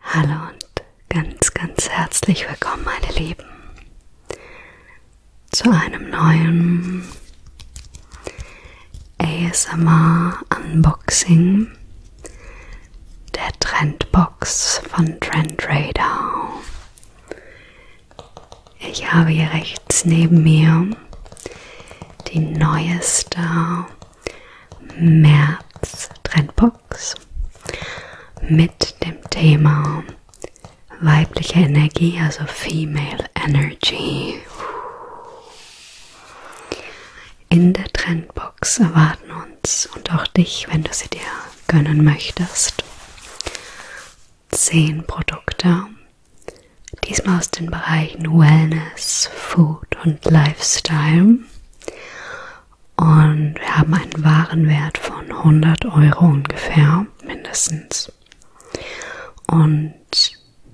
Hallo und ganz, ganz herzlich willkommen, meine Lieben, zu einem neuen ASMR Unboxing der Trendbox von Trendradar. Ich habe hier rechts neben mir die neueste März Trendbox Talks mit dem Thema weibliche Energie, also Female Energy. In der Trendbox erwarten uns und auch dich, wenn du sie dir gönnen möchtest, zehn Produkte. Diesmal aus den Bereichen Wellness, Food und Lifestyle und wir haben einen Warenwert von 100 Euro ungefähr, mindestens. Und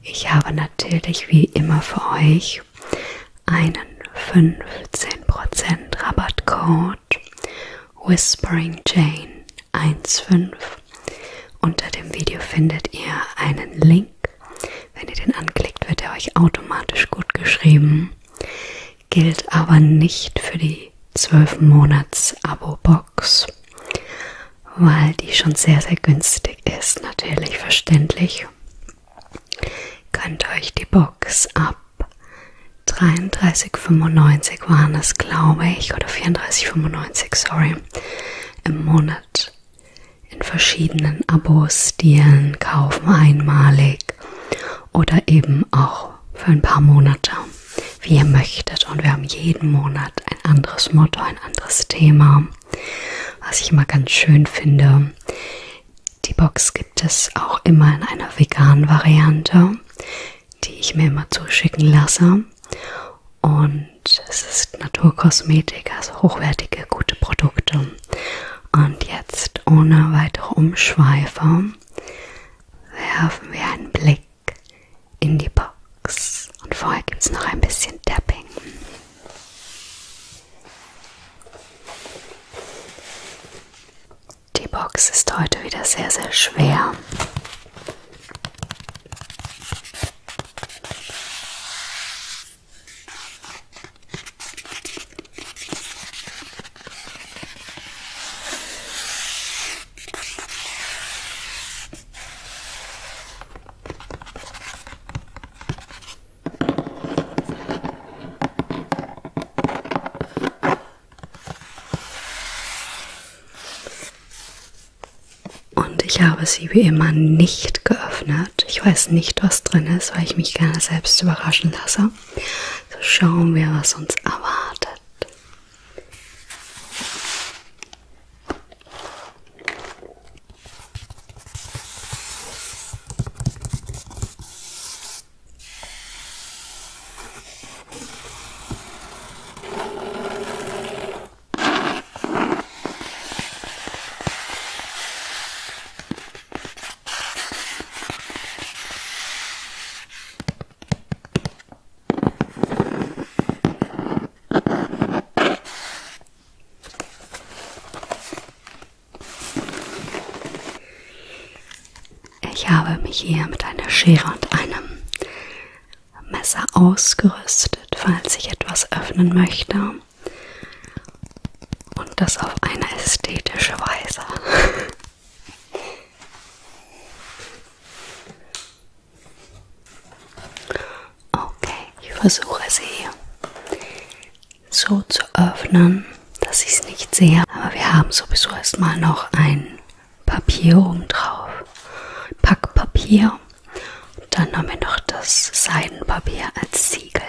ich habe natürlich wie immer für euch einen 15% Rabattcode Whispering Jane 15. Unter dem Video findet ihr einen Link wenn ihr den anklickt, wird er euch automatisch gut geschrieben. Gilt aber nicht für die 12 Monats Abo-Box, weil die schon sehr, sehr günstig ist. Natürlich verständlich. Könnt euch die Box ab 33,95 waren es, glaube ich, oder 34,95, sorry, im Monat in verschiedenen Abo-Stilen kaufen, einmalig oder eben auch für ein paar Monate, wie ihr möchtet. Und wir haben jeden Monat ein anderes Motto, ein anderes Thema, was ich immer ganz schön finde. Die Box gibt es auch immer in einer veganen Variante, die ich mir immer zuschicken lasse. Und es ist Naturkosmetik, also hochwertige, gute Produkte. Und jetzt ohne weitere Umschweife werfen wir einen Blick in die Box. Und vorher gibt es noch ein bisschen Tapping. Die Box ist heute wieder sehr, sehr schwer. Und ich habe sie wie immer nicht geöffnet. Wert. Ich weiß nicht, was drin ist, weil ich mich gerne selbst überraschen lasse. So schauen wir, was uns erwartet. Ich habe mich hier mit einer Schere und einem Messer ausgerüstet, falls ich etwas öffnen möchte haben. Und das auf eine ästhetische Weise. Okay, ich versuche sie so zu öffnen, dass ich es nicht sehe. Aber wir haben sowieso erstmal noch ein Papier oben drauf. Packpapier. Und dann haben wir noch das Seidenpapier als Siegel.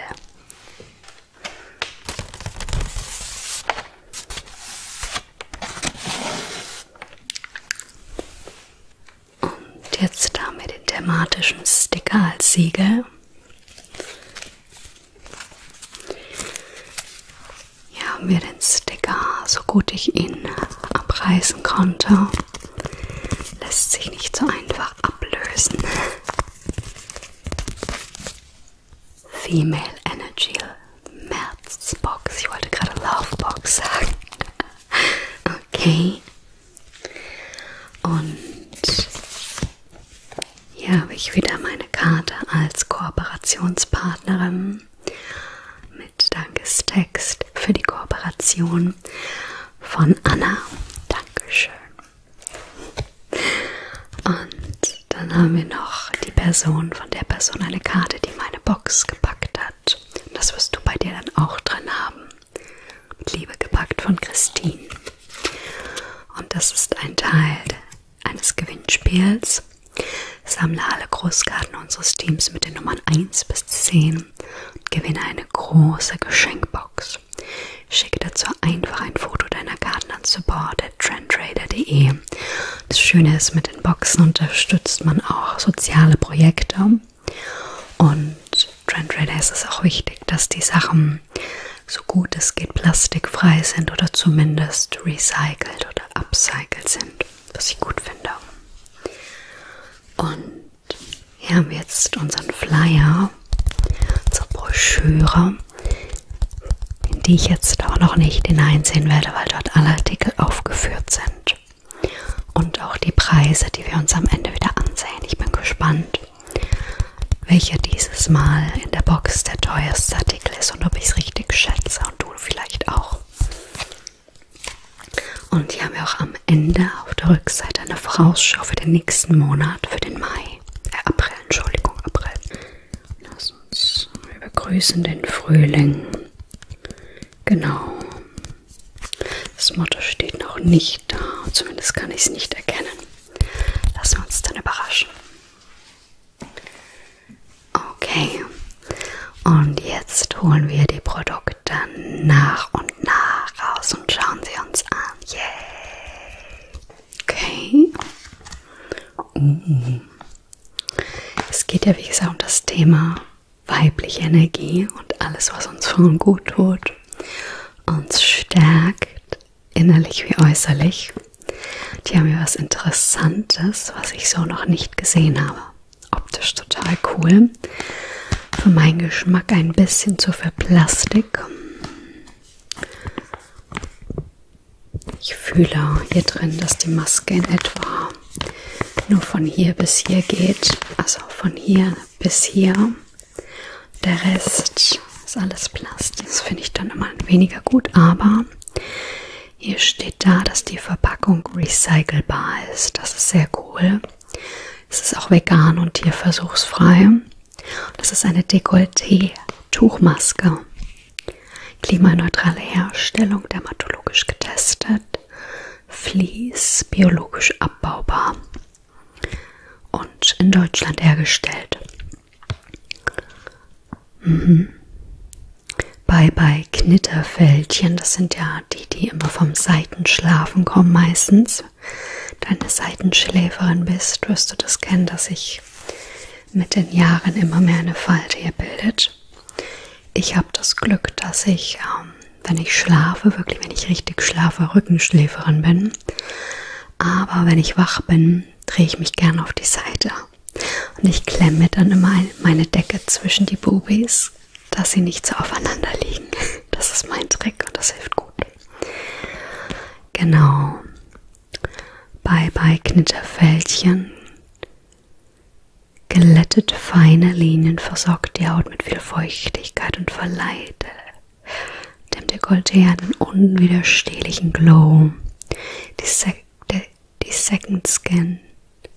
Und jetzt damit den thematischen Sticker als Siegel. Hier haben wir den Sticker, so gut ich ihn abreißen konnte. Lässt sich nicht so einfach ablösen. Female Energy Märzbox. Ich wollte gerade Lovebox sagen. Okay. Und hier habe ich wieder meine Karte als Kooperationspartnerin mit Dankestext für die Kooperation von Anna. Dankeschön. Und dann haben wir noch die Person, von der Person eine Karte, die meine Box gepackt hat. Und das wirst du bei dir dann auch drin haben. Mit Liebe gepackt von Christine. Und das ist ein Teil eines Gewinnspiels. Sammle alle Großkarten unseres Teams mit den Nummern 1 bis 10 und gewinne eine große Geschenkbox aus. Schicke dazu einfach ein Foto deiner Karten an support.trendtrader.de. Das Schöne ist, mit den Boxen unterstützt man auch soziale Projekte. Und Trendtrader ist es auch wichtig, dass die Sachen so gut es geht plastikfrei sind oder zumindest recycelt oder upcycled sind, was ich gut finde. Und hier haben wir jetzt unseren Flyer, unsere Broschüre, in die ich jetzt auch noch nicht hineinsehen werde, weil dort alle Artikel aufgeführt sind. Und auch die Preise, die wir uns am Ende wieder ansehen. Ich bin gespannt, welcher dieses Mal in der Box der teuerste Artikel ist und ob ich es richtig schätze und du vielleicht auch. Und hier haben wir auch am Ende auf der Rückseite eine Vorausschau für den nächsten Monat, für den Mai. Mai, äh April, Entschuldigung, April. Lass uns begrüßen den Frühling. Genau. Das Motto steht noch nicht da, zumindest kann ich es nicht erkennen. Lassen wir uns dann überraschen. Okay, und jetzt holen wir die Produkte nach und nah raus und schauen sie uns an. Yay! Okay. Uh. Es geht ja, wie gesagt, um das Thema weibliche Energie und alles, was uns Frauen gut tut, uns stärkt, innerlich wie äußerlich. Die haben ja was Interessantes, was ich so noch nicht gesehen habe. Optisch total cool für meinen Geschmack ein bisschen zu viel Plastik. Ich fühle hier drin, dass die Maske in etwa nur von hier bis hier geht, also von hier bis hier. Der Rest ist alles Plastik. Das finde ich dann immer weniger gut, aber hier steht da, dass die Verpackung recycelbar ist. Das ist sehr cool. Es ist auch vegan und tierversuchsfrei. Das ist eine Dekolleté-Tuchmaske. Klimaneutrale Herstellung, dermatologisch getestet, Vlies, biologisch abbaubar und in Deutschland hergestellt. Mhm. Bei, bei Knitterfältchen, das sind ja die, die immer vom Seitenschlafen kommen meistens, deine Seitenschläferin bist, wirst du das kennen, dass sich mit den Jahren immer mehr eine Falte hier bildet. Ich habe das Glück, dass ich, ähm, wenn ich schlafe, wirklich, wenn ich richtig schlafe, Rückenschläferin bin. Aber wenn ich wach bin, drehe ich mich gern auf die Seite. Und ich klemme dann immer meine Decke zwischen die Bubis, dass sie nicht so aufeinander liegen. Das ist mein Trick und das hilft gut. Genau. Bye bye Knitterfältchen. Glättete feine Linien versorgt die Haut mit viel Feuchtigkeit und verleiht dem Dekolleté einen unwiderstehlichen Glow. Die, Se die Second Skin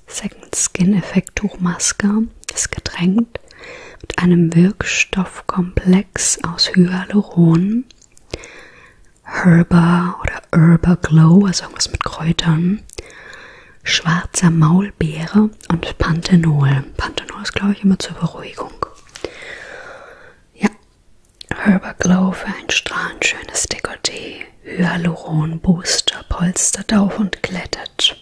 Second Skin Effekt Tuchmaske ist getränkt mit einem Wirkstoffkomplex aus Hyaluron, Herba oder Herba Glow, also irgendwas mit Kräutern, schwarzer Maulbeere und Panthenol. Panthenol ist, glaube ich, immer zur Beruhigung. Ja, Herba Glow für ein strahlend schönes Dekolleté, Hyaluron, Booster, polstert auf und glättet.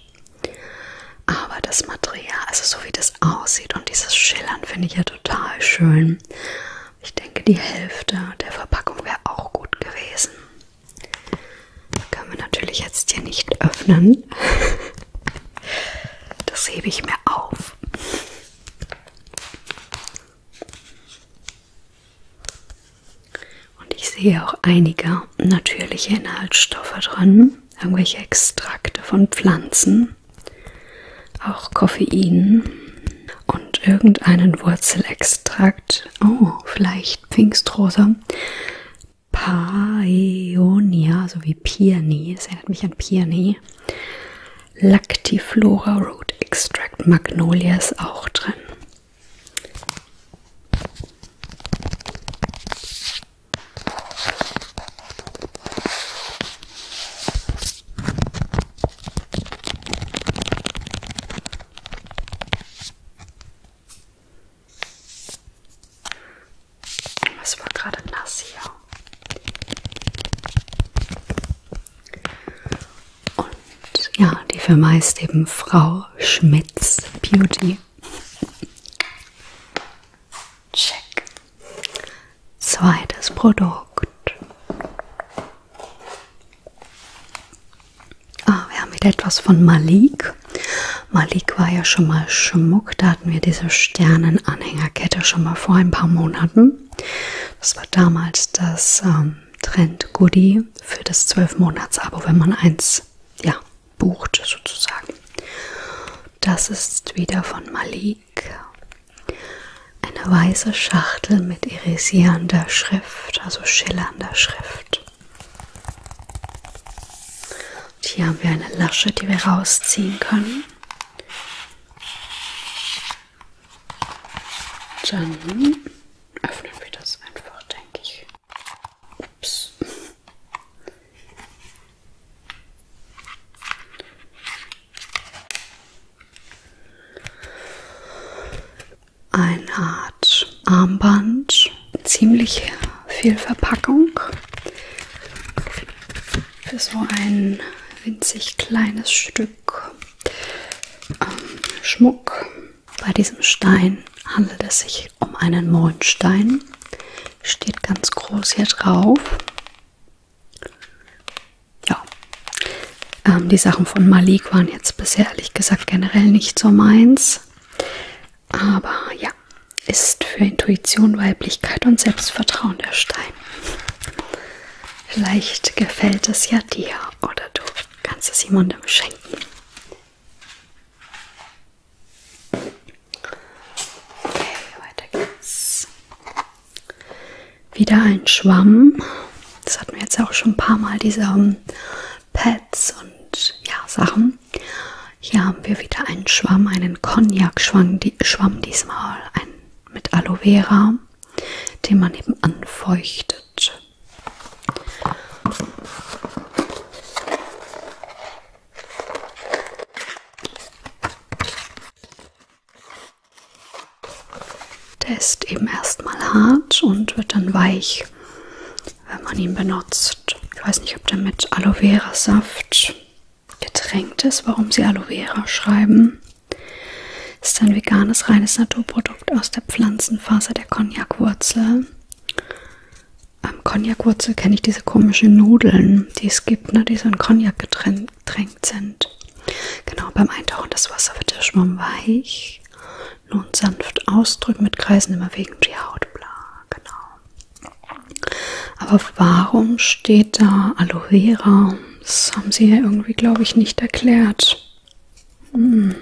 Aber das Material, also so wie das aussieht und dieses Schillern finde ich ja total schön. Ich denke, die Hälfte der Verpackung wäre auch gut gewesen. Das können wir natürlich jetzt hier nicht öffnen. Das hebe ich mir auf. Und ich sehe auch einige natürliche Inhaltsstoffe drin irgendwelche Extrakte von Pflanzen, auch Koffein und irgendeinen Wurzelextrakt. Oh, vielleicht Pfingstrosa. Paeonia, so wie Peony, es erinnert mich an Peony. Lactiflora Root Extract Magnolia ist auch drin. Es war gerade nass hier. Und ja, die Firma heißt eben Frau Schmitz Beauty. Check. Zweites Produkt. Ah, wir haben wieder etwas von Malik. Malik war ja schon mal Schmuck. Da hatten wir diese Sternenanhängerkette schon mal vor ein paar Monaten. Das war damals das ähm, Trend Goodie für das 12-Monats-Abo, wenn man eins ja, bucht sozusagen. Das ist wieder von Malik. Eine weiße Schachtel mit irisierender Schrift, also schillernder Schrift. Und hier haben wir eine Lasche, die wir rausziehen können. Dann öffnen wir das einfach, denke ich. Ups. Eine Art Armband, ziemlich viel Verpackung für so ein winzig kleines Stück ähm, Schmuck. Bei diesem Stein handelt es sich um einen Mondstein. Steht ganz groß hier drauf. Ja. Ähm, die Sachen von Malik waren jetzt bisher ehrlich gesagt generell nicht so meins. Aber ja, ist für Intuition, Weiblichkeit und Selbstvertrauen der Stein. Vielleicht gefällt es ja dir oder du kannst es jemandem schenken. Okay, weiter geht's. Wieder ein Schwamm. Das hatten wir jetzt auch schon ein paar Mal, diese um, ähm, Pads und ja, Sachen. Hier haben wir wieder einen Schwamm, einen Cognac-Schwamm die, diesmal, ein, mit Aloe Vera, den man eben anfeuchtet. Der ist eben erstmal hart und wird dann weich, wenn man ihn benutzt. Ich weiß nicht, ob der mit Aloe Vera Saft getränkt ist, warum sie Aloe Vera schreiben. Ist ein veganes, reines Naturprodukt aus der Pflanzenfaser der Cognac-Wurzel am Cognac-Wurzel kenne ich diese komischen Nudeln, die es gibt, ne, die so in Cognac getränkt sind. Genau, beim Eintauchen des Wasser wird der Schwamm weich. Nun sanft ausdrücken mit Kreisen immer wegen die Haut, bla, genau. Aber warum steht da Aloe Vera? Das haben sie ja irgendwie, glaube ich, nicht erklärt. Hm.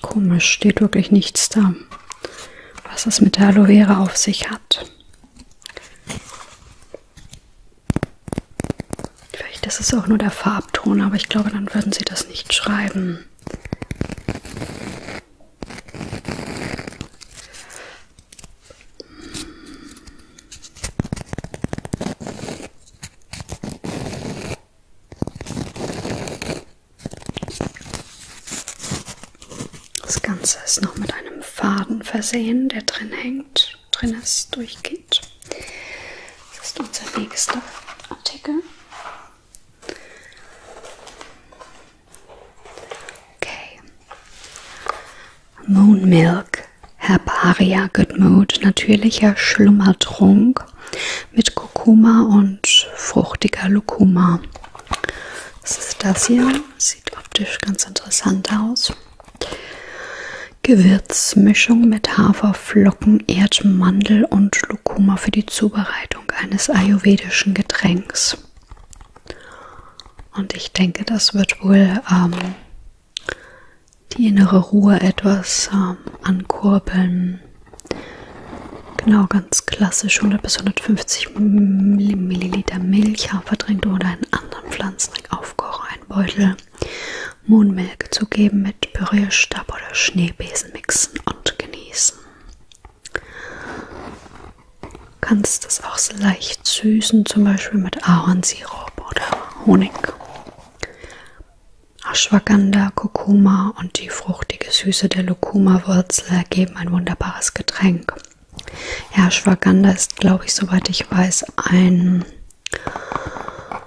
Komisch, steht wirklich nichts da, was es mit der Aloe Vera auf sich hat. Vielleicht ist es auch nur der Farbton, aber ich glaube, dann würden sie das nicht schreiben. Das Ganze ist noch mit einem Faden versehen, der drin hängt, drin ist, durchgeht. Das ist unser nächster Artikel. Okay. Moon Milk Herbaria Good Mood, natürlicher Schlummertrunk mit Kurkuma und fruchtiger Lukuma. Das ist das hier. Sieht optisch ganz interessant aus. Gewürzmischung mit Haferflocken, Erdmandel und Lucuma für die Zubereitung eines ayurvedischen Getränks. Und ich denke, das wird wohl ähm, die innere Ruhe etwas ähm, ankurbeln. Genau, ganz klassisch 100 bis 150 Milliliter Milch, Hafertrink oder einen anderen Pflanzentrick aufkochen, einen Beutel Mohnmelke zugeben, mit Pürierstab oder Schneebesen mixen und genießen. Du kannst das auch so leicht süßen, zum Beispiel mit Ahornsirup oder Honig. Ashwagandha, Kurkuma und die fruchtige Süße der Lucuma-Wurzel ergeben ein wunderbares Getränk. Ja, Schwaganda ist, glaube ich, soweit ich weiß, ein,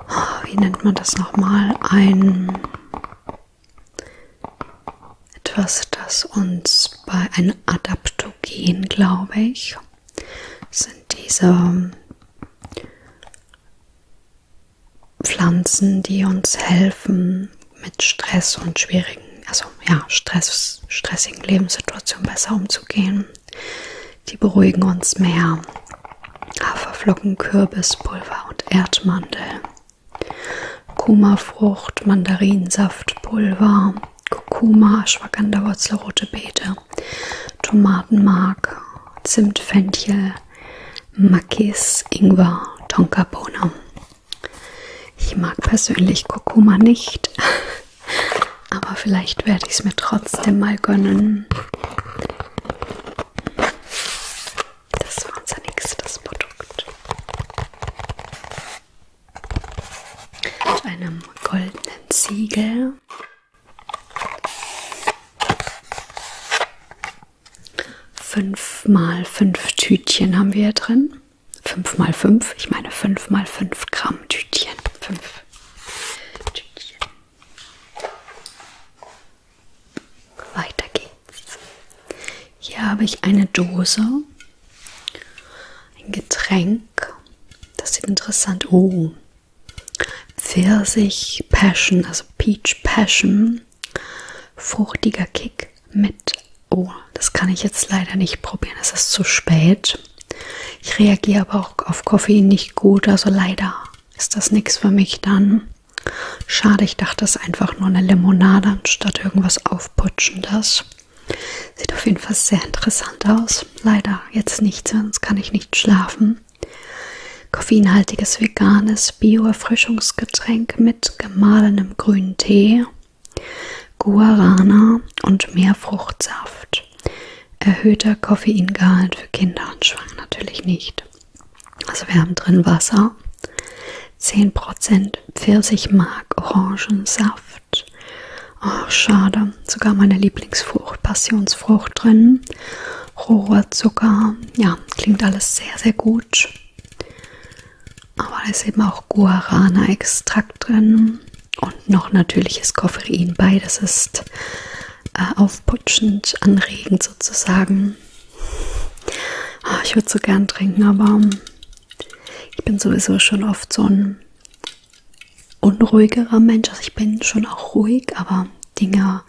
oh, wie nennt man das nochmal, ein etwas, das uns bei einem Adaptogen, glaube ich, sind diese Pflanzen, die uns helfen, mit Stress und schwierigen, also ja, Stress, stressigen Lebenssituationen besser umzugehen. Die beruhigen uns mehr. Haferflocken, Kürbis, Pulver und Erdmandel. Kurkuma-Frucht, Mandarinsaft, Pulver, Kurkuma, Ashwagandha-Wurzel, rote Beete, Tomatenmark, Zimt, Fenchel, Makis, Ingwer, Tonkabohne ich mag persönlich Kurkuma nicht, aber vielleicht werde ich es mir trotzdem mal gönnen. Das war unser nächstes Produkt. Mit einem goldenen Siegel. 5 mal 5 Tütchen haben wir hier drin. 5 mal 5, ich meine 5 mal 5 Gramm Tütchen. 5 Tütchen. Weiter geht's. Hier habe ich eine Dose, ein Getränk. Das sieht interessant. Oh. Pfirsich Passion, also Peach Passion fruchtiger Kick mit. Oh, das kann ich jetzt leider nicht probieren, es ist zu spät. Ich reagiere aber auch auf Koffein nicht gut, also leider ist das nichts für mich dann. Schade, ich dachte, es ist einfach nur eine Limonade anstatt irgendwas Aufputschendes. Sieht auf jeden Fall sehr interessant aus. Leider jetzt nichts, sonst kann ich nicht schlafen. Koffeinhaltiges veganes Bio-Erfrischungsgetränk mit gemahlenem grünen Tee, Guarana und mehr Fruchtsaft. Erhöhter Koffeingehalt für Kinder und Schwangere natürlich nicht. Also wir haben drin Wasser, 10% Pfirsichmark, Orangensaft. Ach, oh, schade. Sogar meine Lieblingsfrucht, Passionsfrucht drin. Rohrzucker. Ja, klingt alles sehr, sehr gut. Aber da ist eben auch Guarana-Extrakt drin und noch natürliches Koffein. Beides ist äh, aufputschend, anregend sozusagen. Oh, ich würde so gern trinken, aber ich bin sowieso schon oft so ein unruhigerer Mensch. Also ich bin schon auch ruhig, aber Dinge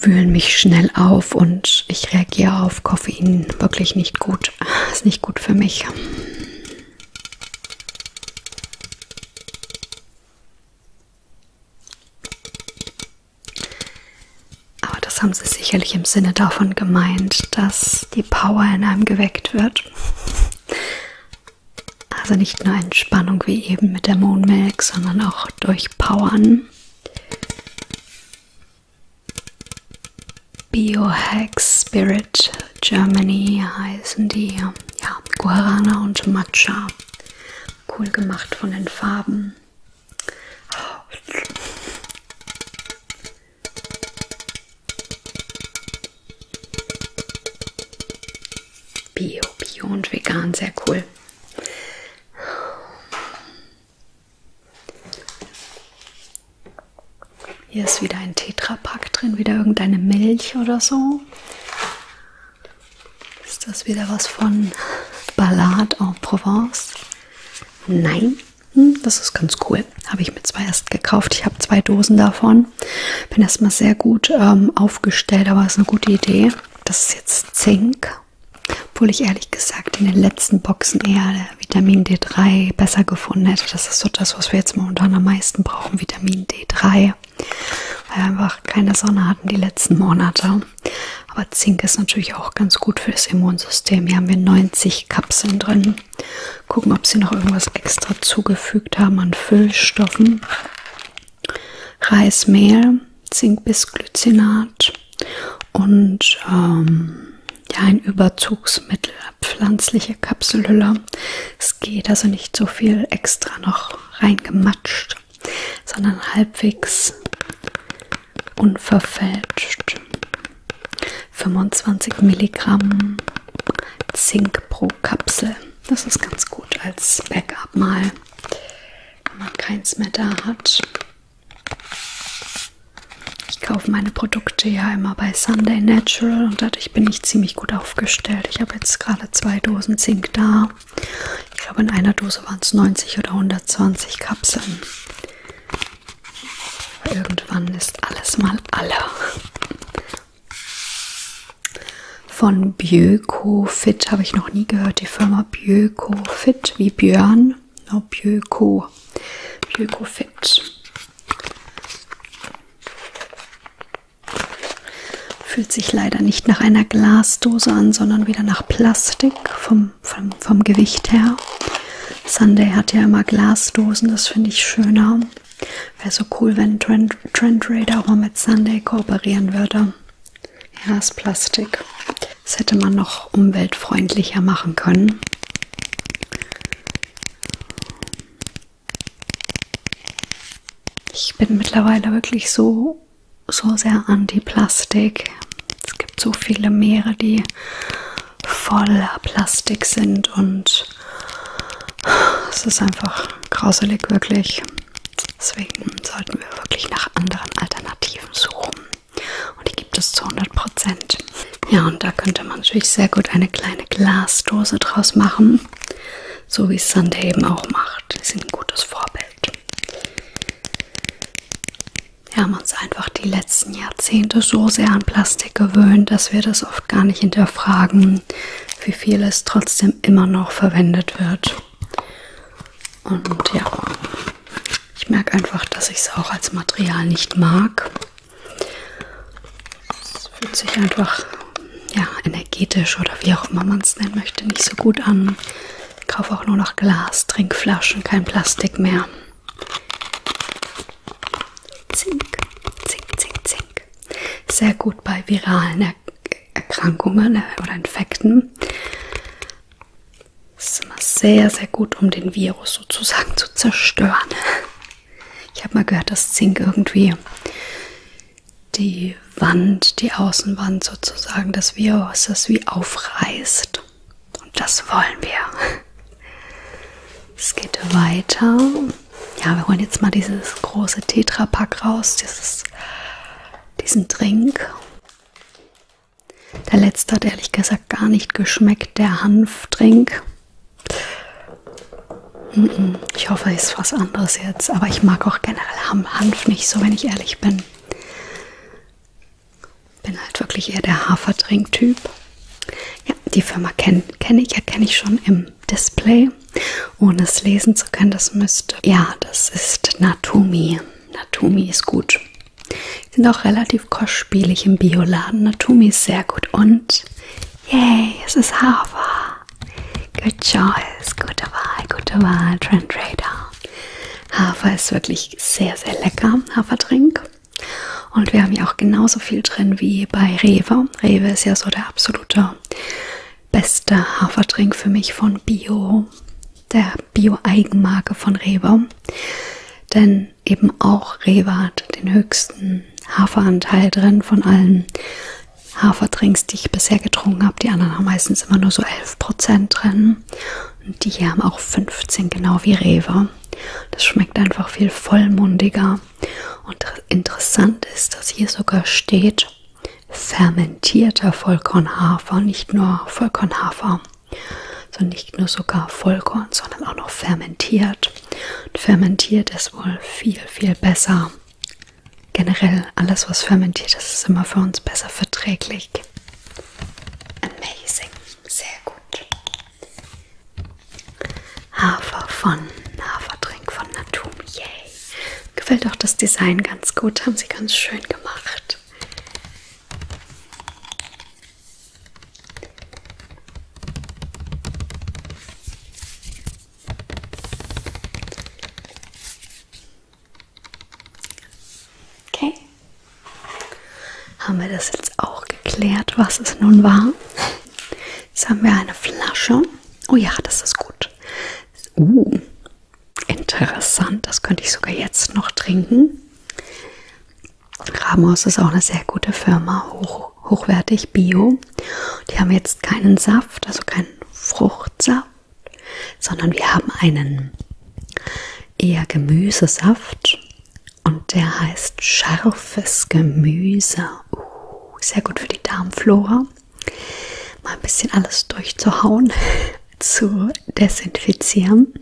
wühlen mich schnell auf und ich reagiere auf Koffein wirklich nicht gut. Ist nicht gut für mich. Aber das haben sie sicherlich im Sinne davon gemeint, dass die Power in einem geweckt wird. Also nicht nur Entspannung wie eben mit der Moonmilk, sondern auch durchpowern. Biohack Spirit Germany heißen die. Ja, Guarana und Matcha. Cool gemacht von den Farben. Bio, Bio und Vegan, sehr cool. Hier ist wieder ein Tetrapack drin, wieder irgendeine Milch oder so. Ist das wieder was von Ballade en Provence? Nein, hm, das ist ganz cool. Habe ich mir zwei erst gekauft. Ich habe zwei Dosen davon. Bin erstmal sehr gut ähm, aufgestellt, aber ist eine gute Idee. Das ist jetzt Zink. Obwohl ich ehrlich gesagt in den letzten Boxen eher Vitamin D3 besser gefunden hätte. Das ist so das, was wir jetzt momentan am meisten brauchen, Vitamin D3. Weil wir einfach keine Sonne hatten die letzten Monate. Aber Zink ist natürlich auch ganz gut für das Immunsystem. Hier haben wir 90 Kapseln drin. Gucken, ob sie noch irgendwas extra zugefügt haben an Füllstoffen. Reismehl, Zink bis Glycinat und ähm, ja, ein Überzugsmittel, pflanzliche Kapselhülle. Es geht also nicht so viel extra noch reingematscht, sondern halbwegs unverfälscht. 25 Milligramm Zink pro Kapsel. Das ist ganz gut als Backup mal, wenn man keins mehr da hat. Ich kaufe meine Produkte ja immer bei Sunday Natural und dadurch bin ich ziemlich gut aufgestellt. Ich habe jetzt gerade zwei Dosen Zink da. Ich glaube, in einer Dose waren es 90 oder 120 Kapseln. Irgendwann ist alles mal alle. Von Bioco Fit habe ich noch nie gehört. Die Firma Biocofit wie Björn. No, Bioco. Biocofit. Fühlt sich leider nicht nach einer Glasdose an, sondern wieder nach Plastik vom, vom, vom Gewicht her. Sunday hat ja immer Glasdosen, das finde ich schöner. Wäre so cool, wenn Trend, Trend Raider auch mal mit Sunday kooperieren würde. Ja, ist Plastik. Das hätte man noch umweltfreundlicher machen können. Ich bin mittlerweile wirklich so, so sehr anti-Plastik. Es gibt so viele Meere, die voller Plastik sind und es ist einfach grauselig, wirklich. Deswegen sollten wir wirklich nach anderen Alternativen suchen und die gibt es zu 100%. Ja, und da könnte man natürlich sehr gut eine kleine Glasdose draus machen, so wie es Sunday eben auch macht. Die sind ein gutes Vorbild. Wir haben uns einfach die letzten Jahrzehnte so sehr an Plastik gewöhnt, dass wir das oft gar nicht hinterfragen, wie viel es trotzdem immer noch verwendet wird. Und ja, ich merke einfach, dass ich es auch als Material nicht mag. Es fühlt sich einfach ja, energetisch oder wie auch immer man es nennen möchte, nicht so gut an. Ich kaufe auch nur noch Glas, Trinkflaschen, kein Plastik mehr. Zink, zink, zink, zink. Sehr gut bei viralen Erkrankungen äh, oder Infekten. Das ist immer sehr, sehr gut, um den Virus sozusagen zu zerstören. Ich habe mal gehört, dass Zink irgendwie die Wand, die Außenwand sozusagen des Virus das wie aufreißt. Und das wollen wir. Es geht weiter. Ja, wir holen jetzt mal dieses große Tetra-Pack raus, dieses, diesen Drink. Der letzte hat ehrlich gesagt gar nicht geschmeckt, der Hanfdrink. Ich hoffe, es ist was anderes jetzt, aber ich mag auch generell Hanf nicht so, wenn ich ehrlich bin. Bin halt wirklich eher der Haferdrink-Typ. Ja, die Firma kenne kenn ich, erkenne ich schon im Display. Ohne es lesen zu können, das müsste. Ja, das ist Natumi. Natumi ist gut. Sind auch relativ kostspielig im Bioladen. Natumi ist sehr gut und yay, es ist Hafer. Good choice, gute Wahl, gute Wahl, Trend Radar. Hafer ist wirklich sehr, sehr lecker, Haferdrink. Und wir haben ja auch genauso viel drin wie bei Rewe. Rewe ist ja so der absolute beste Haferdrink für mich von Bio der Bio-Eigenmarke von Rewe, denn eben auch Rewe hat den höchsten Haferanteil drin von allen Haferdrinks, die ich bisher getrunken habe. Die anderen haben meistens immer nur so 11% drin und die hier haben auch 15, genau wie Rewe. Das schmeckt einfach viel vollmundiger und interessant ist, dass hier sogar steht fermentierter Vollkornhafer, nicht nur Vollkornhafer. Also nicht nur sogar Vollkorn, sondern auch noch fermentiert. Und fermentiert ist wohl viel, viel besser. Generell alles, was fermentiert ist, ist immer für uns besser verträglich. Amazing, sehr gut. Hafer von Hafertrink von Natumi, yay. Gefällt auch das Design ganz gut, haben sie ganz schön gemacht. Okay. Haben wir das jetzt auch geklärt, was es nun war? Jetzt haben wir eine Flasche. Oh ja, das ist gut. Uh, Interessant, das könnte ich sogar jetzt noch trinken. Ramos ist auch eine sehr gute Firma, hoch, hochwertig Bio. Die haben jetzt keinen Saft, also keinen Fruchtsaft, sondern wir haben einen eher Gemüsesaft und der heißt scharfes Gemüse. Uh, sehr gut für die Darmflora. Mal ein bisschen alles durchzuhauen zu desinfizieren.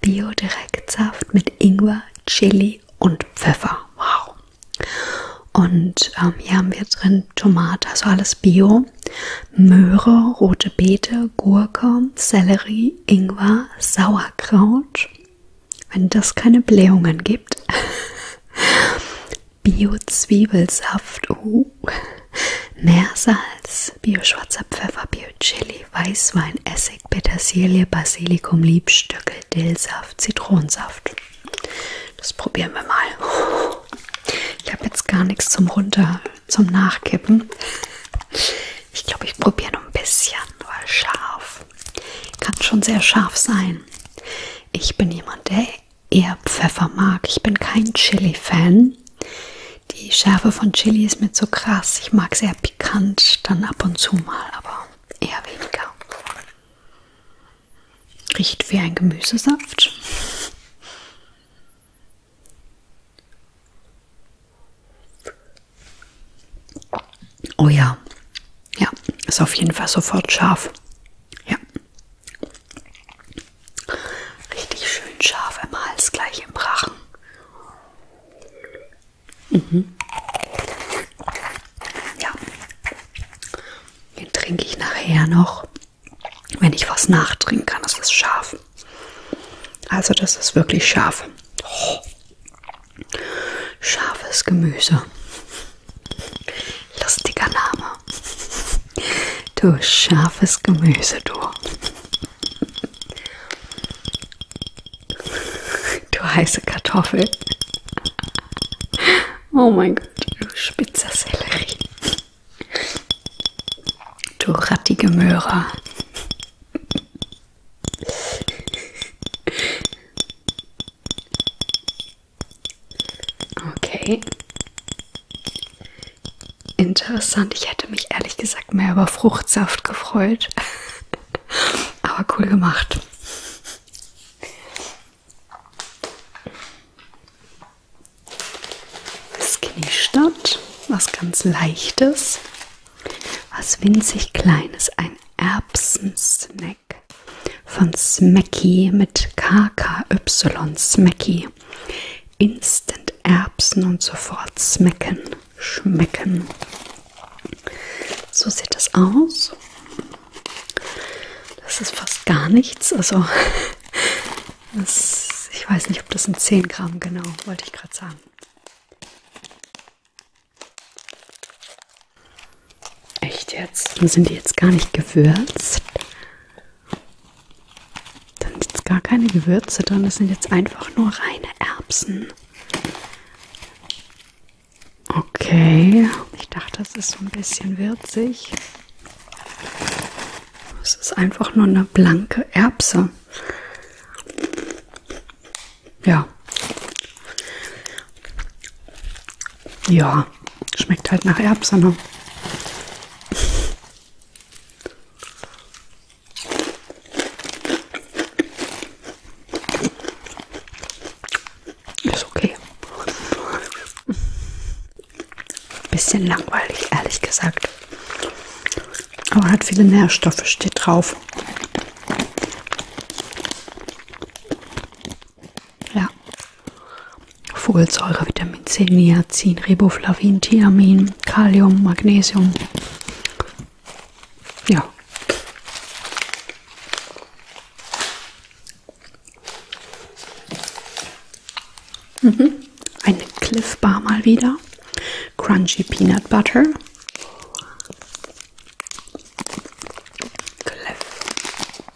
Bio-Direktsaft mit Ingwer, Chili und Pfeffer. Wow. Und ähm, hier haben wir drin Tomate, also alles Bio, Möhre, rote Beete, Gurke, Sellerie, Ingwer, Sauerkraut. Wenn das keine Blähungen gibt. Bio-Zwiebelsaft. Oh, Uh, Meersalz, Bio-Schwarzer Pfeffer, Bio-Chili, Weißwein, Essig, Petersilie, Basilikum, Liebstöcke, Dillsaft, Zitronensaft. Das probieren wir mal. Ich habe jetzt gar nichts zum Runter, zum Nachkippen. Ich glaube, ich probiere noch ein bisschen, weil scharf kann schon sehr scharf sein. Ich bin jemand, der eher Pfeffer mag. Ich bin kein Chili-Fan. Die Schärfe von Chili ist mir so krass. Ich mag sehr pikant, dann ab und zu mal, aber eher weniger. Riecht wie ein Gemüsesaft. Oh ja, ja, ist auf jeden Fall sofort scharf. Ja, Richtig schön scharf im Hals, gleich im Rachen. Mhm. Ja. Den trinke ich nachher noch, wenn ich was nachtrinken kann. Das ist scharf. Also das ist wirklich scharf. Oh. Scharfes Gemüse. Lustiger Name. Du scharfes Gemüse, du. Du heiße Kartoffel. Oh mein Gott, du spitzer Sellerie. Du rattige Möhre. Okay interessant. Ich hätte mich ehrlich gesagt mehr über Fruchtsaft gefreut. Aber cool gemacht. Skinny Stadt, was ganz leichtes, was winzig kleines, ein Erbsensnack von Smacky mit KKY Smacky. Instant Erbsen und sofort smacken, schmecken. So sieht das aus. Das ist fast gar nichts. Also, das, ich weiß nicht, ob das sind 10 Gramm genau, wollte ich gerade sagen. Echt jetzt? Sind die jetzt gar nicht gewürzt? Da sind jetzt gar keine Gewürze drin, das sind jetzt einfach nur reine Erbsen. Okay, ich dachte, das ist so ein bisschen würzig. Es ist einfach nur eine blanke Erbse. Ja. Ja, schmeckt halt nach Erbsen. Ne? Ist okay. Bisschen langweilig, ehrlich gesagt. Aber hat viele Nährstoffe, steht drauf. Ja. Folsäure, Vitamin C, Niacin, Riboflavin, Thiamin, Kalium, Magnesium. Ja. Mhm. Eine Cliff Bar mal wieder. Crunchy Peanut Butter. Cliff.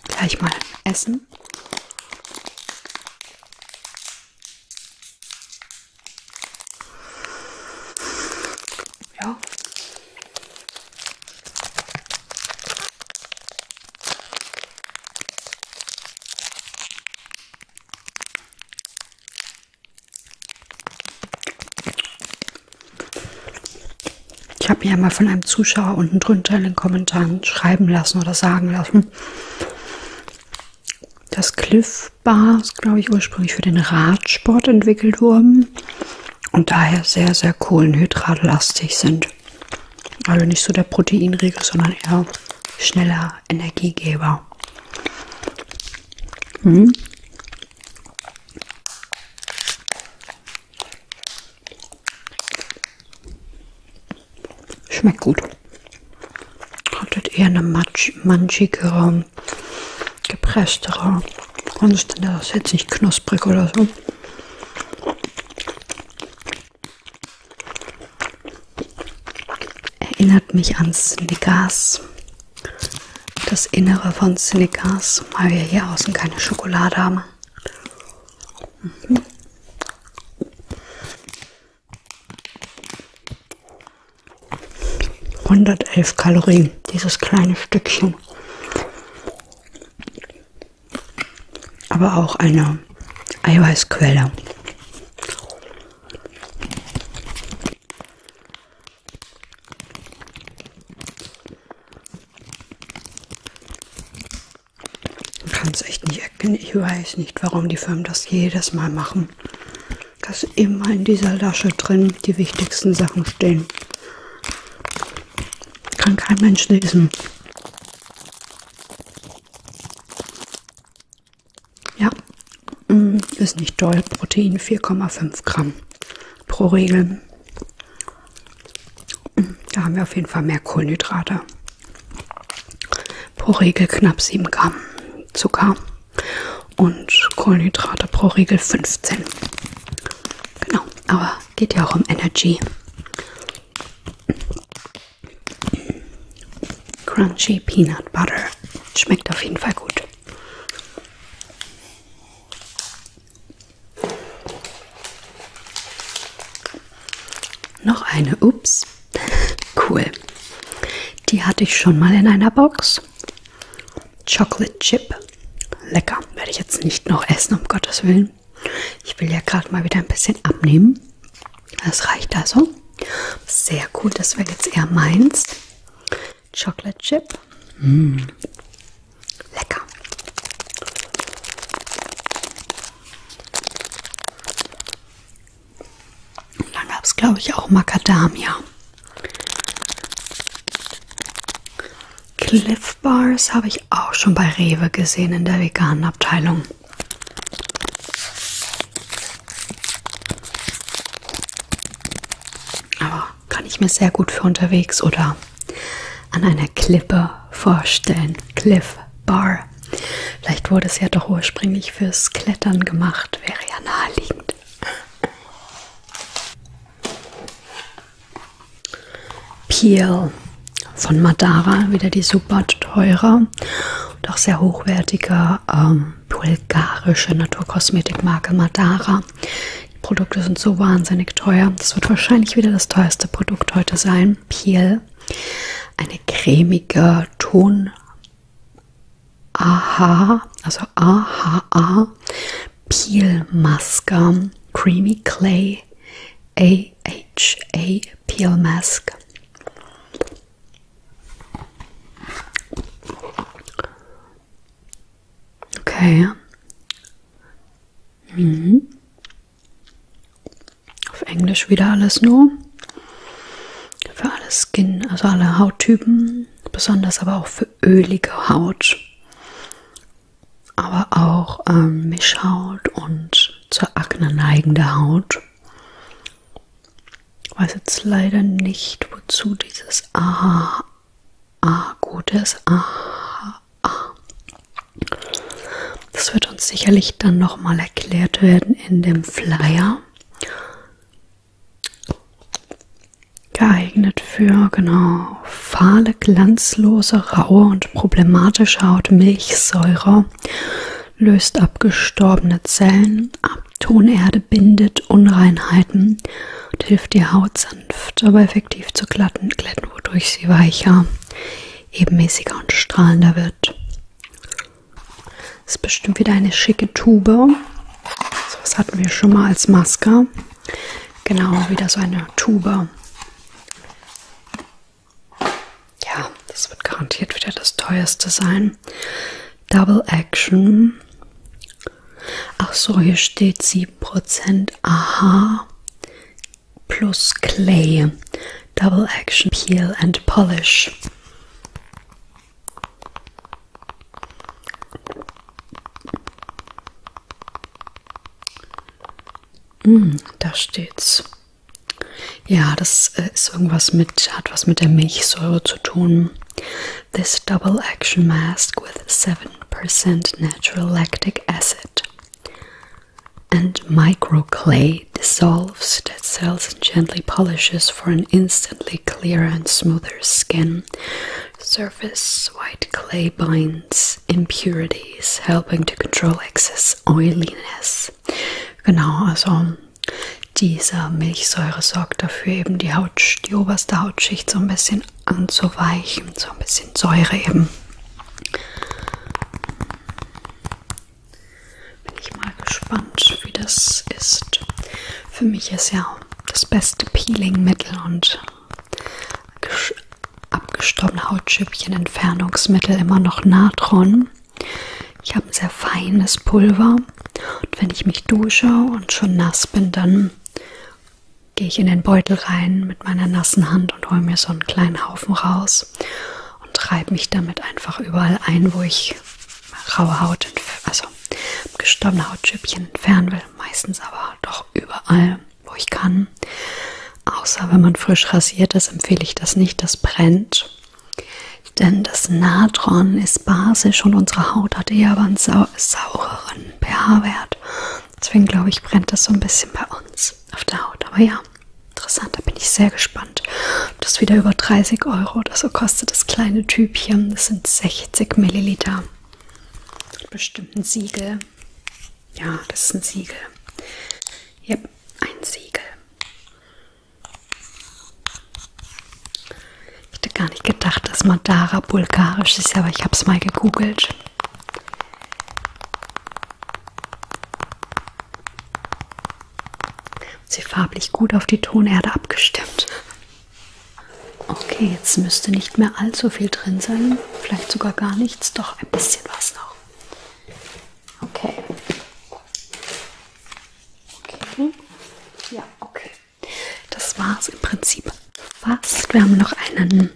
Gleich mal essen. Ja. Ich habe ja mal von einem Zuschauer unten drunter in den Kommentaren schreiben lassen oder sagen lassen, das Cliff Bar ist, glaube ich, ursprünglich für den Radsport entwickelt worden und daher sehr, sehr kohlenhydratlastig sind. Also nicht so der Proteinregel, sondern eher schneller Energiegeber. Hm. Schmeckt gut. Hat halt eher eine matsch, manchigere, gepresstere Konsistenz. Das ist jetzt nicht knusprig oder so. Erinnert mich an Snickers. Das Innere von Snickers, weil wir hier außen keine Schokolade haben. Mhm. 111 Kalorien, dieses kleine Stückchen. Aber auch eine Eiweißquelle kann es echt nicht erkennen. Ich weiß nicht, warum die Firmen das jedes Mal machen. Dass immer in dieser Lasche drin die wichtigsten Sachen stehen. Kann kein Mensch lesen. Ja, mm, ist nicht doll. Protein 4,5 Gramm pro Regel. Mm, da haben wir auf jeden Fall mehr Kohlenhydrate pro Regel knapp 7 Gramm Zucker und Kohlenhydrate pro Regel 15. Genau, aber geht ja auch um Energy. Crunchy Peanut Butter. Schmeckt auf jeden Fall gut. Noch eine, ups, cool. Die hatte ich schon mal in einer Box. Chocolate Chip, lecker. Werde ich jetzt nicht noch essen, um Gottes Willen. Ich will ja gerade mal wieder ein bisschen abnehmen. Das reicht also. Sehr cool, das wäre jetzt eher meins. Chocolate Chip. Mm. Lecker. Und dann gab es, glaube ich, auch Macadamia. Cliff Bars habe ich auch schon bei Rewe gesehen in der veganen Abteilung. Aber kann ich mir sehr gut für unterwegs oder an einer Klippe vorstellen. Cliff Bar. Vielleicht wurde es ja doch ursprünglich fürs Klettern gemacht, wäre ja naheliegend. Peel von Madara, wieder die super teure und auch sehr hochwertige ähm, bulgarische Naturkosmetikmarke Madara. Die Produkte sind so wahnsinnig teuer. Das wird wahrscheinlich wieder das teuerste Produkt heute sein. Peel eine cremige Ton AHA, also AHA Peel-Maske, Creamy Clay AHA Peel Mask. Okay. Mhm. Auf Englisch wieder alles nur. Für alle Skin, also alle Hauttypen, besonders aber auch für ölige Haut. Aber auch ähm, Mischhaut und zur Akne neigende Haut. Ich weiß jetzt leider nicht, wozu dieses Aha ah, gut ist. Aha, ah. Das wird uns sicherlich dann nochmal erklärt werden in dem Flyer. Geeignet für, genau, fahle, glanzlose, raue und problematische Haut, Milchsäure, löst abgestorbene Zellen ab, Tonerde bindet Unreinheiten und hilft die Haut sanft, aber effektiv zu glatten, glätten, wodurch sie weicher, ebenmäßiger und strahlender wird. Das ist bestimmt wieder eine schicke Tube. So was hatten wir schon mal als Maske. Genau, wieder so eine Tube. Ja, das wird garantiert wieder das teuerste sein. Double Action. Ach so, hier steht 7%. Aha. Plus Clay. double action peel and polish. Mm, da steht's. Ja, das äh, ist irgendwas mit, hat was mit der Milchsäure zu tun. This double action mask with 7% natural lactic acid and micro clay dissolves dead cells and gently polishes for an instantly clearer and smoother skin. Surface white clay binds impurities, helping to control excess oiliness. Genau, also diese Milchsäure sorgt dafür, eben die Haut, die oberste Hautschicht so ein bisschen anzuweichen, so ein bisschen Säure eben. Bin ich mal gespannt, wie das ist. Für mich ist ja das beste Peeling-Mittel und abgestorbene Hautschüppchen-Entfernungsmittel immer noch Natron. Ich habe ein sehr feines Pulver und wenn ich mich dusche und schon nass bin, dann gehe ich in den Beutel rein mit meiner nassen Hand und hole mir so einen kleinen Haufen raus Holz und reibe mich damit einfach überall ein, wo ich raue Haut, also gestorbene Hautschüppchen entfernen will. Meistens aber doch überall, wo ich kann. Außer wenn man frisch rasiert ist, empfehle ich das nicht, das brennt. Denn das Natron ist basisch und unsere Haut hat eher einen sau saureren pH-Wert. Deswegen glaube ich, brennt das so ein bisschen bei uns auf der Haut. Aber ja, Interessant, da bin ich sehr gespannt. Das ist wieder über 30 Euro oder so kostet das kleine Typchen. Das sind 60 Milliliter. Bestimmt ein Siegel. Ja, das ist ein Siegel. Ja, ein Siegel. Ich hätte gar nicht gedacht, dass Madara bulgarisch ist, aber ich habe es mal gegoogelt. Sie farblich gut auf die Tonerde abgestimmt. Okay, jetzt müsste nicht mehr allzu viel drin sein. Vielleicht sogar gar nichts, doch ein bisschen was noch. Okay. Okay. Ja, okay. Das war es im Prinzip fast. Wir haben noch einen,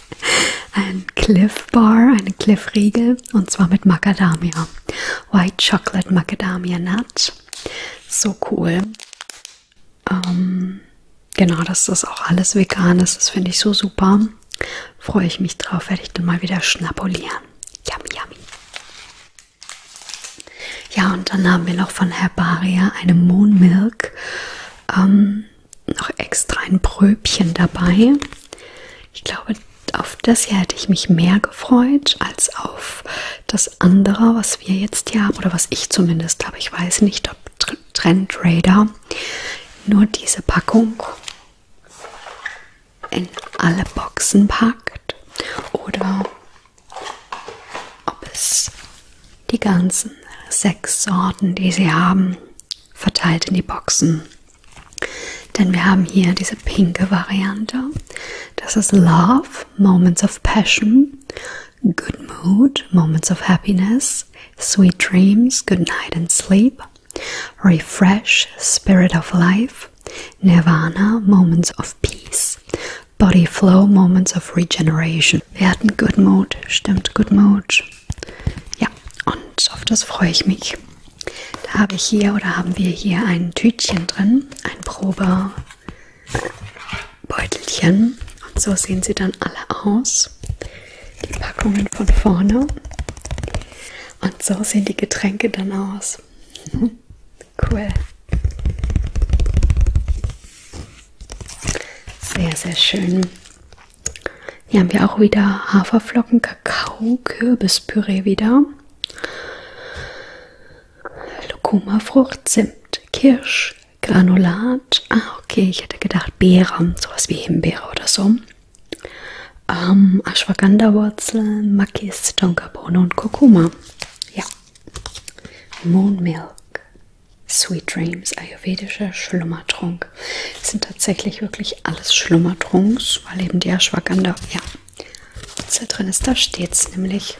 einen Cliff Bar, eine Cliff Riegel. Vanille und zwar mit Macadamia. White Chocolate Macadamia Nut. So cool. Ähm, genau, dass das auch alles vegan ist, das finde ich so super. Freue ich mich drauf, werde ich dann mal wieder schnabulieren. Yummy, yummy. Ja, und dann haben wir noch von Herbaria eine Moon Milk. Ähm, noch extra ein Bröbchen dabei. Ich glaube, auf das hier hätte ich mich mehr gefreut als auf das andere, was wir jetzt hier haben oder was ich zumindest habe. Ich weiß nicht, ob Trend Radar nur diese Packung in alle Boxen packt oder ob es die ganzen sechs Sorten, die sie haben, verteilt in die Boxen denn wir haben hier diese pinke Variante. Das ist Love, Moments of Passion, Good Mood, Moments of Happiness, Sweet Dreams, Good Night and Sleep, Refresh, Spirit of Life, Nirvana, Moments of Peace, Body Flow, Moments of Regeneration. Wir hatten Good Mood, stimmt Good Mood. Ja, und auf das freue ich mich. Da habe ich hier oder haben wir hier ein Tütchen drin, ein Probebeutelchen. Und so sehen sie dann alle aus. Die Packungen von vorne. Und so sehen die Getränke dann aus. Mhm. Cool. Sehr, sehr schön. Hier haben wir auch wieder Haferflocken, Kakao, Kürbispüree wieder. Kurkuma-Frucht, Zimt, Kirsch, Granulat. Ah, okay, ich hätte gedacht Beere, sowas wie Himbeere oder so. Ähm, Ashwagandha-Wurzel, Makis, Tonkabohne und Kurkuma. Ja. Moon Milk, Sweet Dreams, ayurvedischer Schlummertrunk. Das sind tatsächlich wirklich nämlich alles schlummert rings, weil eben die Ashwagandha, ja, da drin ist, da steht's nämlich.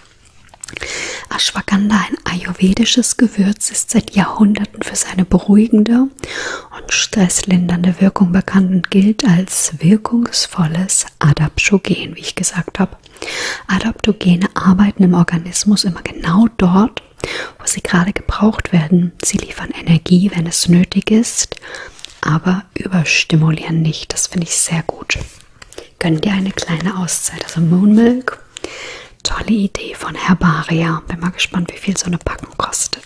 Ashwagandha, ah, ein ayurvedisches Gewürz, ist seit Jahrhunderten für seine beruhigende und stresslindernde Wirkung bekannt und gilt als wirkungsvolles Adaptogen, wie ich gesagt habe. Adaptogene arbeiten im Organismus immer genau dort, wo sie gerade gebraucht werden. Sie liefern Energie, wenn es nötig ist, aber überstimulieren nicht. Das finde ich sehr gut. Gönn dir eine kleine Auszeit. Also Moon Milk, tolle Idee von Herbaria. Bin mal gespannt, wie viel so eine Packung kostet.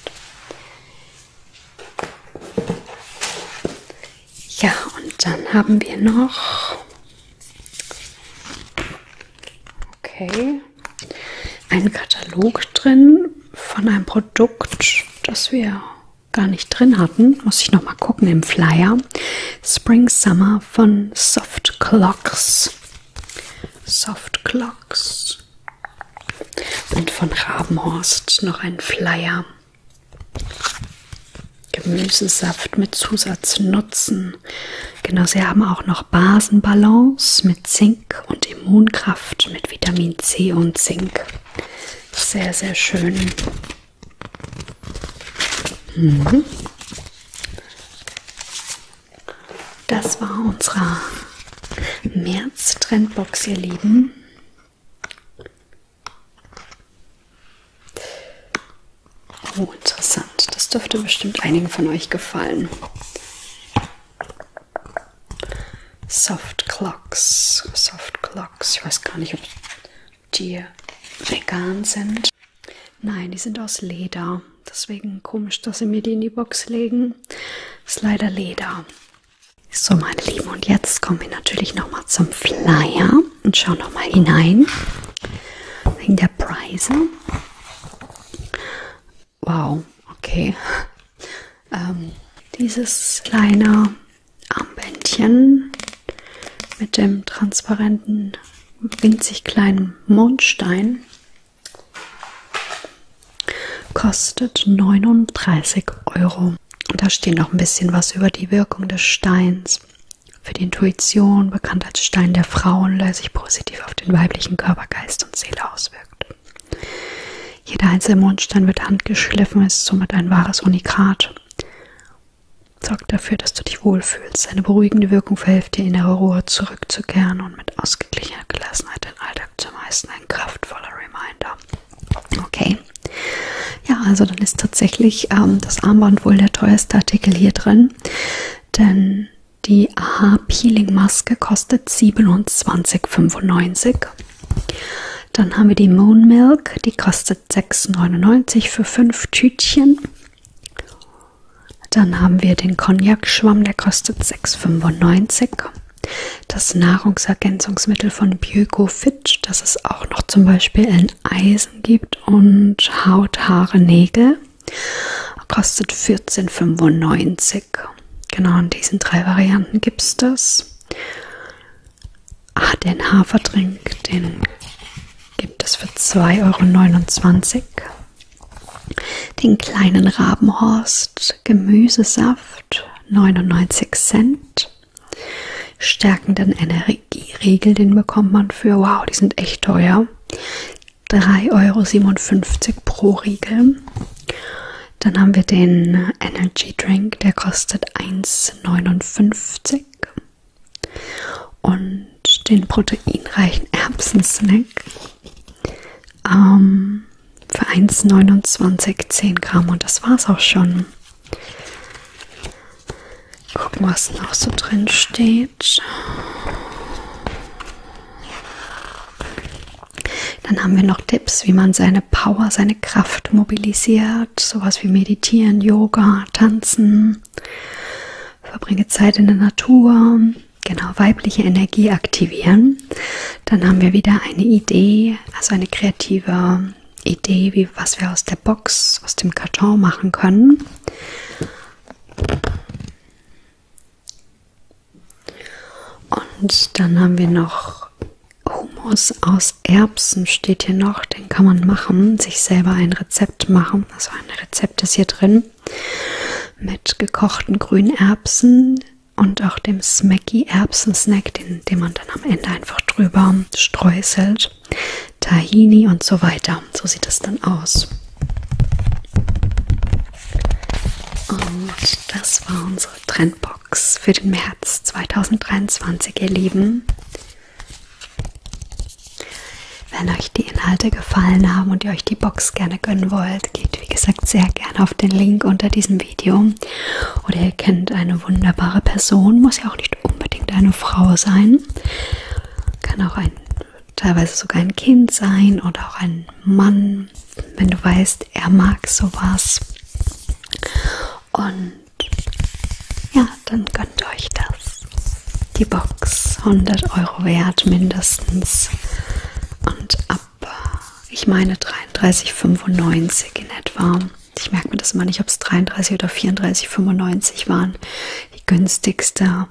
Ja, und dann haben wir noch. Okay. Ein Katalog drin von einem Produkt Produkt, das wir gar nicht drin hatten, muss ich nochmal gucken im Flyer. Spring Summer von Soft Clocks. Soft Clocks. Und von Rabenhorst noch ein Flyer. Gemüsesaft mit Zusatznutzen. Genau, sie haben auch noch Basenbalance mit Zink und Immunkraft mit Vitamin C und Zink. Sehr, sehr schön. Mhm. Das war unsere März-Trendbox, ihr Lieben. Oh, interessant. Das dürfte bestimmt einigen von euch gefallen. Soft Clocks. Soft Clocks. Ich weiß gar nicht, ob die vegan sind. Nein, die sind aus Leder. Deswegen komisch, dass sie mir die in die Box legen. Ist leider Leder. So, meine Lieben, und jetzt kommen wir natürlich nochmal zum Flyer und schauen nochmal hinein. Wegen der Preise. Wow, okay. Ähm, dieses kleine Armbändchen mit dem transparenten, winzig kleinen Mondstein kostet 39 Euro. Und da steht noch ein bisschen was über die Wirkung des Steins. Für die Intuition, bekannt als Stein der Frauen, der sich positiv auf den weiblichen Körper, Geist und Seele auswirkt. Jeder einzelne Mondstein wird handgeschliffen, ist somit ein wahres Unikat. Sorgt dafür, dass du dich wohlfühlst. Eine beruhigende Wirkung verhilft dir, innere Ruhe zurückzukehren und mit ausgeglichener Gelassenheit den Alltag zu meistern. Ein kraftvoller Reminder. Okay. Ja, also dann ist tatsächlich ähm, das Armband wohl der teuerste Artikel hier drin. Denn die Aha Peeling Maske kostet 27,95 dann haben wir die Moon Milk, die kostet 6,99 für 5 Tütchen. Dann haben wir den Cognac-Schwamm, der kostet 6,95. Das Nahrungsergänzungsmittel von Biogo Fit, das es auch noch zum Beispiel in Eisen gibt und Haut, Haare, Nägel, kostet 14,95. Genau in diesen drei Varianten gibt es das. Ah, den Hafertrink, den gibt es für 2,29 Euro. Den kleinen Rabenhorst Gemüsesaft 99 Cent. Stärkenden Energieriegel, den bekommt man für, wow, die sind echt teuer. 3,57 Euro pro Riegel. Dann haben wir den Energy Drink, der kostet 1,59 und den proteinreichen Erbsensnack ähm, für 1,29 10 Gramm und das war's auch schon. Gucken, was noch so drin steht. Dann haben wir noch Tipps, wie man seine Power, seine Kraft mobilisiert, sowas wie meditieren, Yoga, tanzen. Verbringe Zeit in der Natur, genau weibliche Energie aktivieren. Dann haben wir wieder eine Idee, also eine kreative Idee, wie was wir aus der Box, aus dem Karton machen können. Und dann haben wir noch Hummus aus Erbsen, steht hier noch. Den kann man machen, sich selber ein Rezept machen. Also ein Rezept ist hier drin. Mit gekochten grünen Erbsen und auch dem Smacky Erbsen-Snack, den, den man dann am Ende einfach drüber streuselt. Tahini und so weiter. So sieht das dann aus. Und das war unsere Trendbox. Box für den März 2023, ihr Lieben. Wenn euch die Inhalte gefallen haben und ihr euch die Box gerne gönnen wollt, geht wie gesagt sehr gerne auf den Link unter diesem Video. Oder ihr kennt eine wunderbare Person, muss ja auch nicht unbedingt eine Frau sein. Kann auch ein, teilweise sogar ein Kind sein oder auch ein Mann ähm, wenn du weißt, er mag sowas. Und ja, dann gönnt euch das. Die Box 100 Euro wert mindestens. Und ab, ich meine 33,95 in etwa. Ich merke mir das mal nicht, ob es 33 oder 34,95 waren. Die günstigste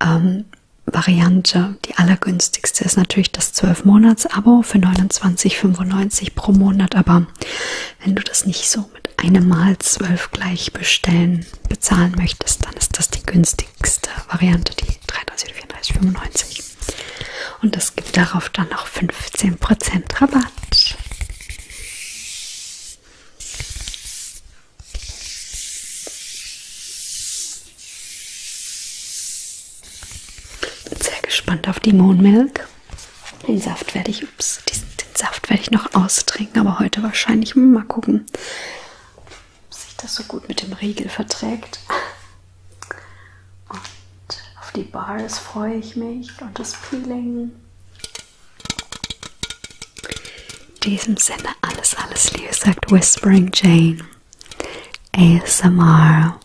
ähm, Variante, die allergünstigste ist natürlich das das 12-Monats-Abo für 29,95 pro Monat. Aber wenn du das nicht so mit einem Mal 12 gleich bestellen, bezahlen möchtest, dann ist das die günstigste Variante, die 34,95. Und es gibt darauf dann noch 15% Rabatt. Bin sehr gespannt auf die Mohnmilk. Den Saft werde ich, ups, diesen, den Saft werde ich noch austrinken, aber heute wahrscheinlich mal gucken, ob sich das so gut mit dem Riegel verträgt. Und auf die Bars freue ich mich und das Peeling. In diesem Sinne alles, alles Liebe, sagt Whispering Jane. ASMR.